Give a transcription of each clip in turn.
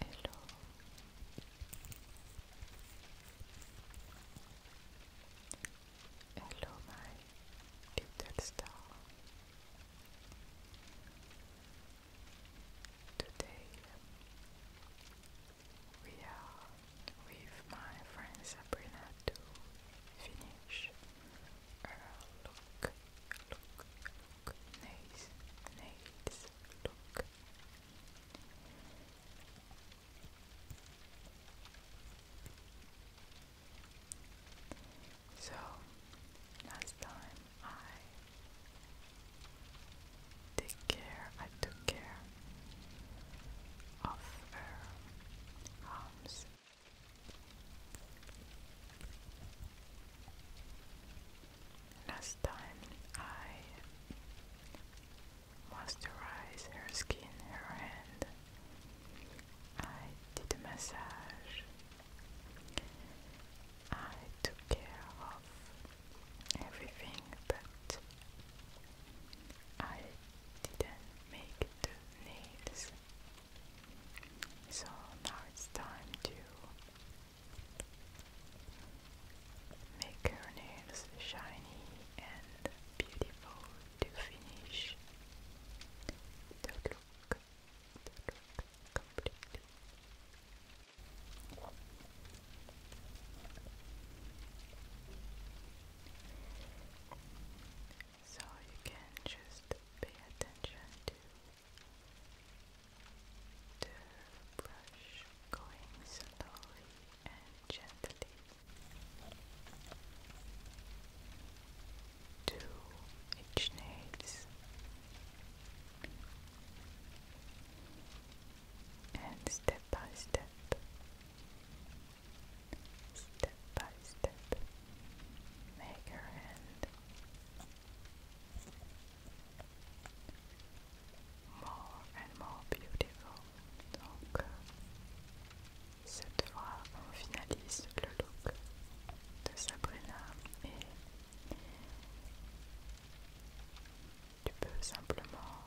Hello. Hello, my little star. Today we are with my friend Sabrina to finish so last time I take care, I took care of her arms Last time I moisturize her skin, her hand. I did a massage. I took care of everything, but I didn't make the nails. So now it's time to make her nails shiny and beautiful to finish the look, the look completely. So you can just pay attention to the brush going slowly and gently. To each nails and step by step, step by step, make her hand more and more beautiful. Donc, cette fois, on finalise le look de Sabrina et tu peux simplement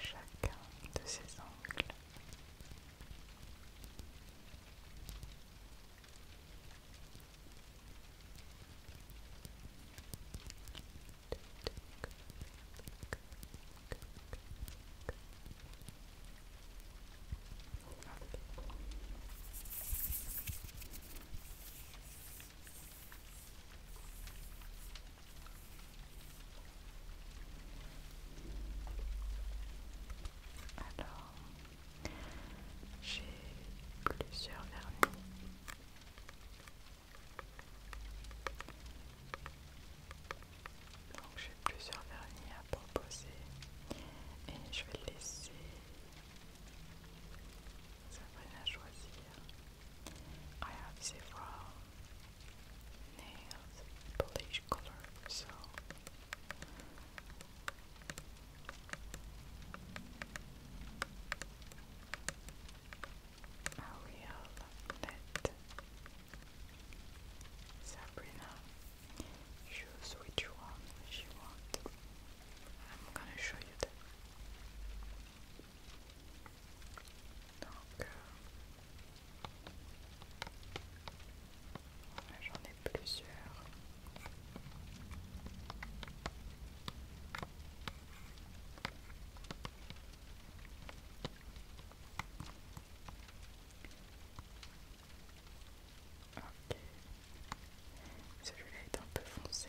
chacun de ses angles. Alors, j'ai plusieurs vernis. Donc j'ai plusieurs vernis à proposer et je vais laisser à choisir. I have several nails polish color, so Sabrina choose which one she wants. I'm gonna show you that. Donc, euh, j'en ai plusieurs. Ok, celui-là est un peu foncé.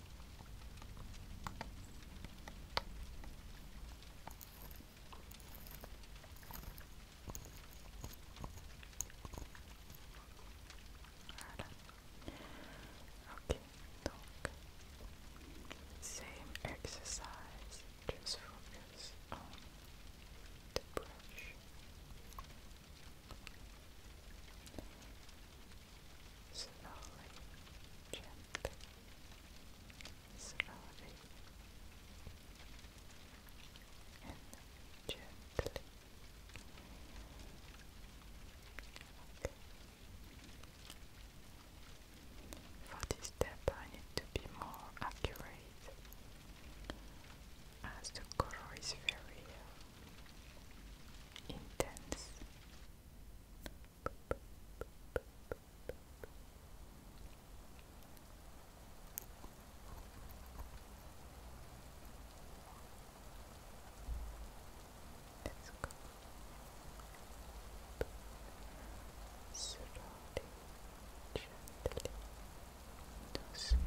same exercise, just focus on the brush slowly, gently, slowly, and gently. Okay. For this step, I need to be more accurate as the color is very intense. Let's go. Slowly, gently, too small,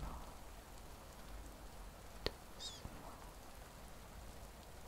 too small, too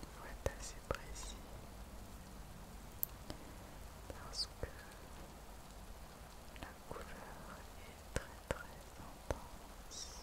Il faut être assez précis parce que la couleur est très très intense,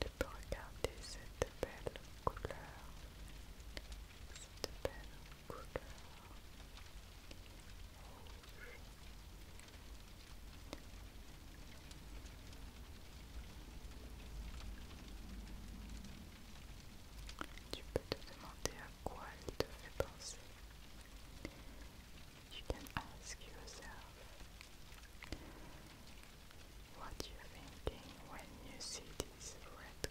Tu peux regarder cette belle couleur, cette belle tu peux te demander à quoi elle te fait penser. You can ask yourself what you're thinking when you see this red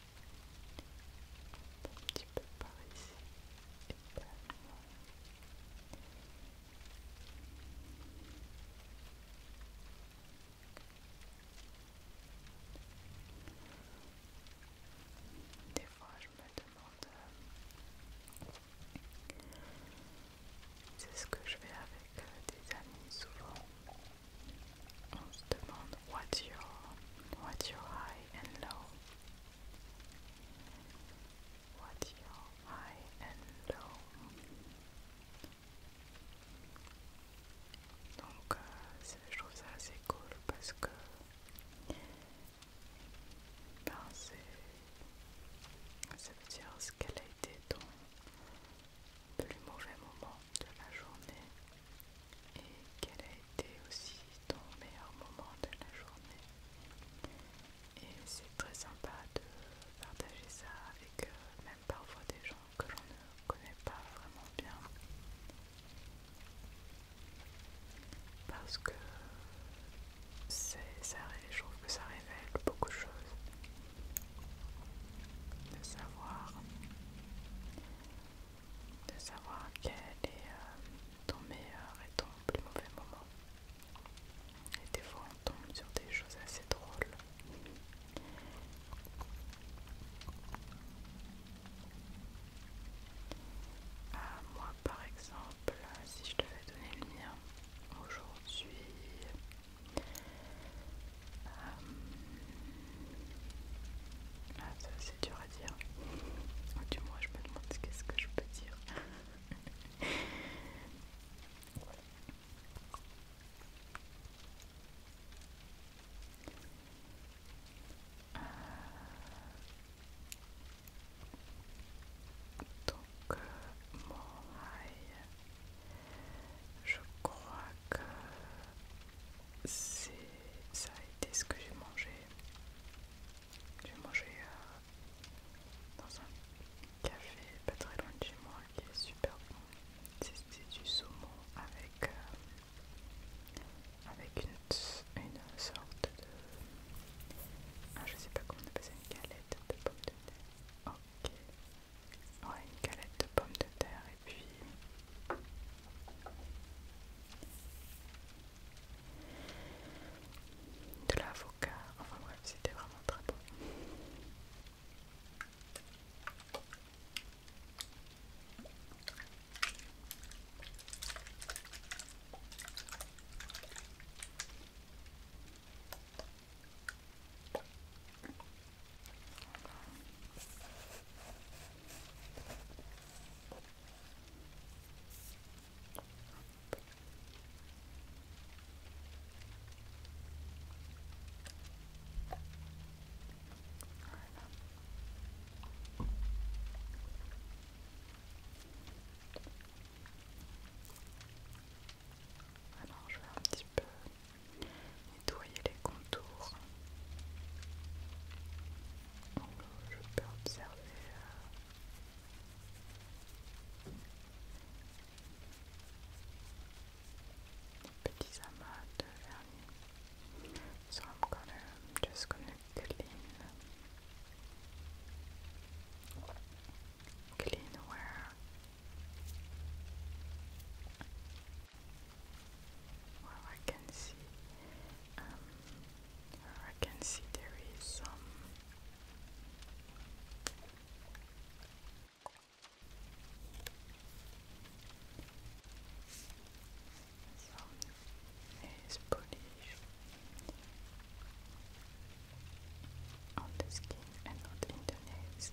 un petit peu par ici Des fois, je me demande euh, c'est ce que je fais avec euh, des amis souvent. On se demande what's your what's high and low what's your high and low donc euh, je trouve ça assez cool parce que ben c'est ça veut dire ce qu'elle a été ton plus mauvais moment de la journée et quel a été aussi ton meilleur moment de la journée. Et c'est très sympa de partager ça avec euh, même parfois des gens que l'on ne connaît pas vraiment bien. Parce que ça, je trouve que ça révèle beaucoup de choses. De savoir de savoir quel est euh, ton meilleur et ton plus mauvais moment. Et des fois on tombe sur des choses assez drôles. Ah, moi par exemple, si je devais donner le mien aujourd'hui... Euh, ah, ça c'est dur dire. Oh, du moins, je me demande qu'est-ce que je peux dire. Euh, donc, euh, mon rail, je crois que c'est ça a été ce que j'ai mangé j'ai mangé euh, dans un café pas très loin de chez moi qui est super bon. C'était du saumon avec, euh, une, sorte de. Ah, je sais pas comment on appelle ça, une galette de pommes de terre. Ok. Ouais, une galette de pommes de terre et puis de l'avocat, enfin bref, c'était vraiment très beau. Alors je vais un petit peu nettoyer les contours je peux observer les euh, petits amas de vernis. So I'm gonna just gonna clean, clean where well, I can see um, I can see there is some some polish on the skin and not in the nails.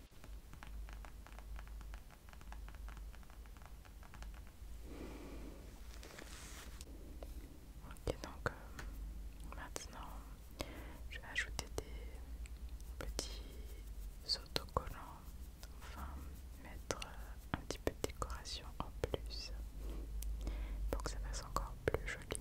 Ok donc euh, maintenant je vais ajouter des petits autocollants, enfin mettre euh, un petit peu de décoration en plus pour que ça fasse encore plus joli.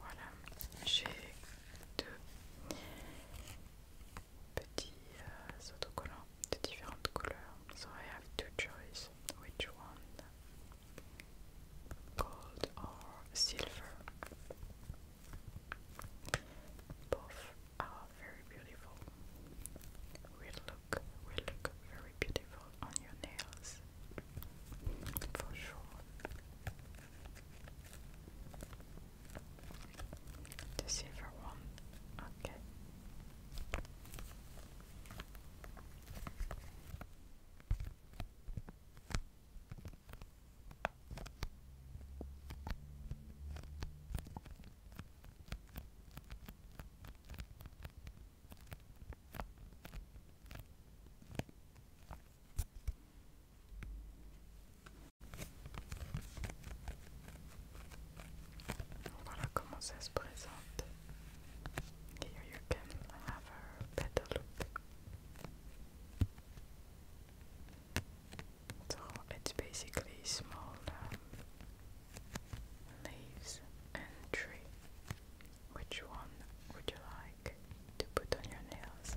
voilà, j'ai deux petits euh, autocollants de différentes couleurs. So two gold or silver. Both are very beautiful. Will look will look very beautiful on your nails for sure. The silver one, okay. Voilà comment ça se présente. Here you can have a better look. So it's basically small um, leaves and tree. Which one would you like to put on your nails?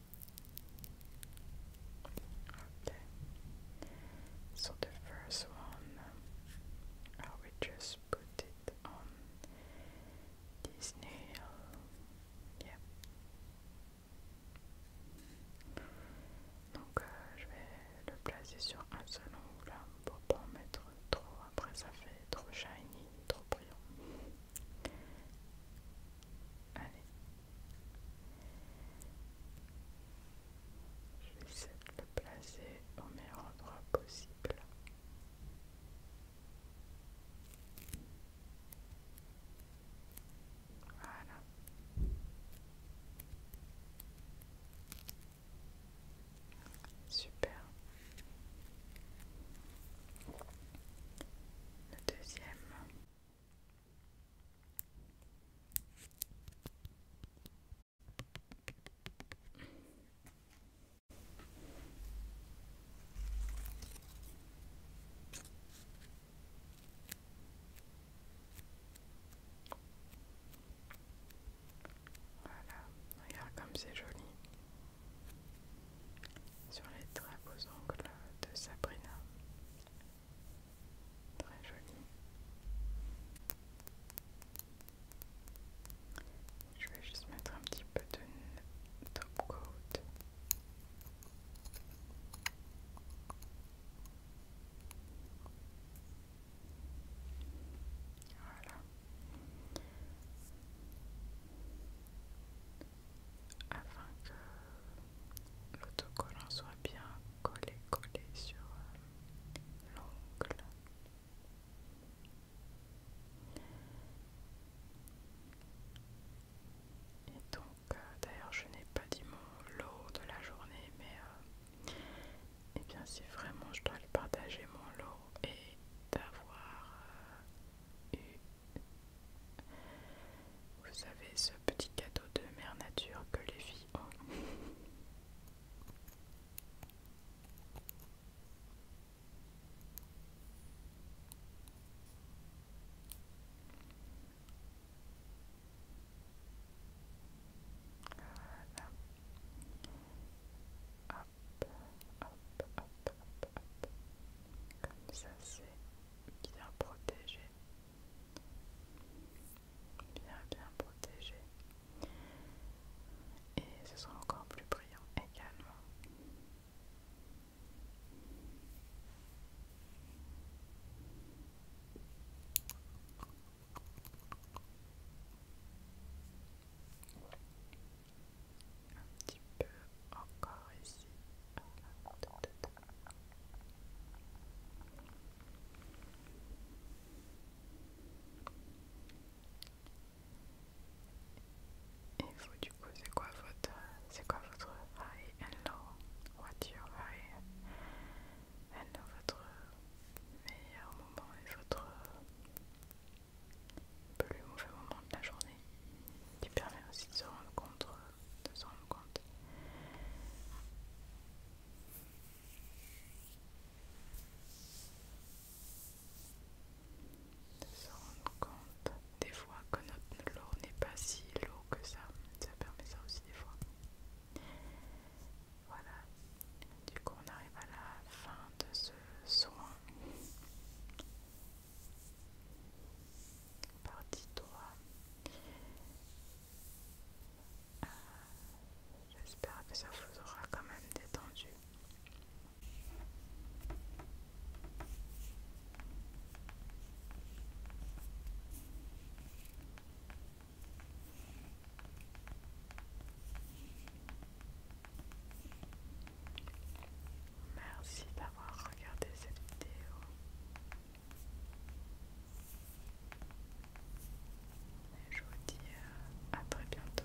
Ok So the first one, I will just put it on this nail. Donc euh, je vais le placer sur un seul angle hein, pour ne pas en mettre trop. Après ça fait trop shiny, trop brillant. Allez, je vais essayer de le placer au meilleur endroit possible. Voilà. Super. Le deuxième. Voilà, regarde comme c'est joli sur les très aux ongles de Sabrina. Très joli. Je vais juste mettre un petit peu de top coat. Voilà. Afin que l'autocollant soit bien collé, collé sur euh, l'ongle. Et donc, euh, d'ailleurs, je n'ai pas dit mon lot de la journée, mais et euh, eh bien, si vraiment je dois le partager, mon lot et d'avoir eu vous savez, ce petit cadeau de mère nature que les filles ont. Comme ça, c'est bien protégé, bien bien protégé, et ce sera encore plus brillant également. Un petit peu encore ici. Et vous du coup c'est quoi votre c'est quoi votre high and low? What's your high and low votre meilleur moment et votre plus mauvais moment de la journée qui permet aussi de se rendre compte euh, de se rendre compte. De se rendre compte des fois que notre lourd n'est pas si lourd que ça. Ça permet ça aussi des fois. Voilà. Du coup on arrive à la fin de ce soin. Euh, j'espère que ça vous aura quand même détendu. Merci d'avoir regardé cette vidéo je vous dis à très bientôt.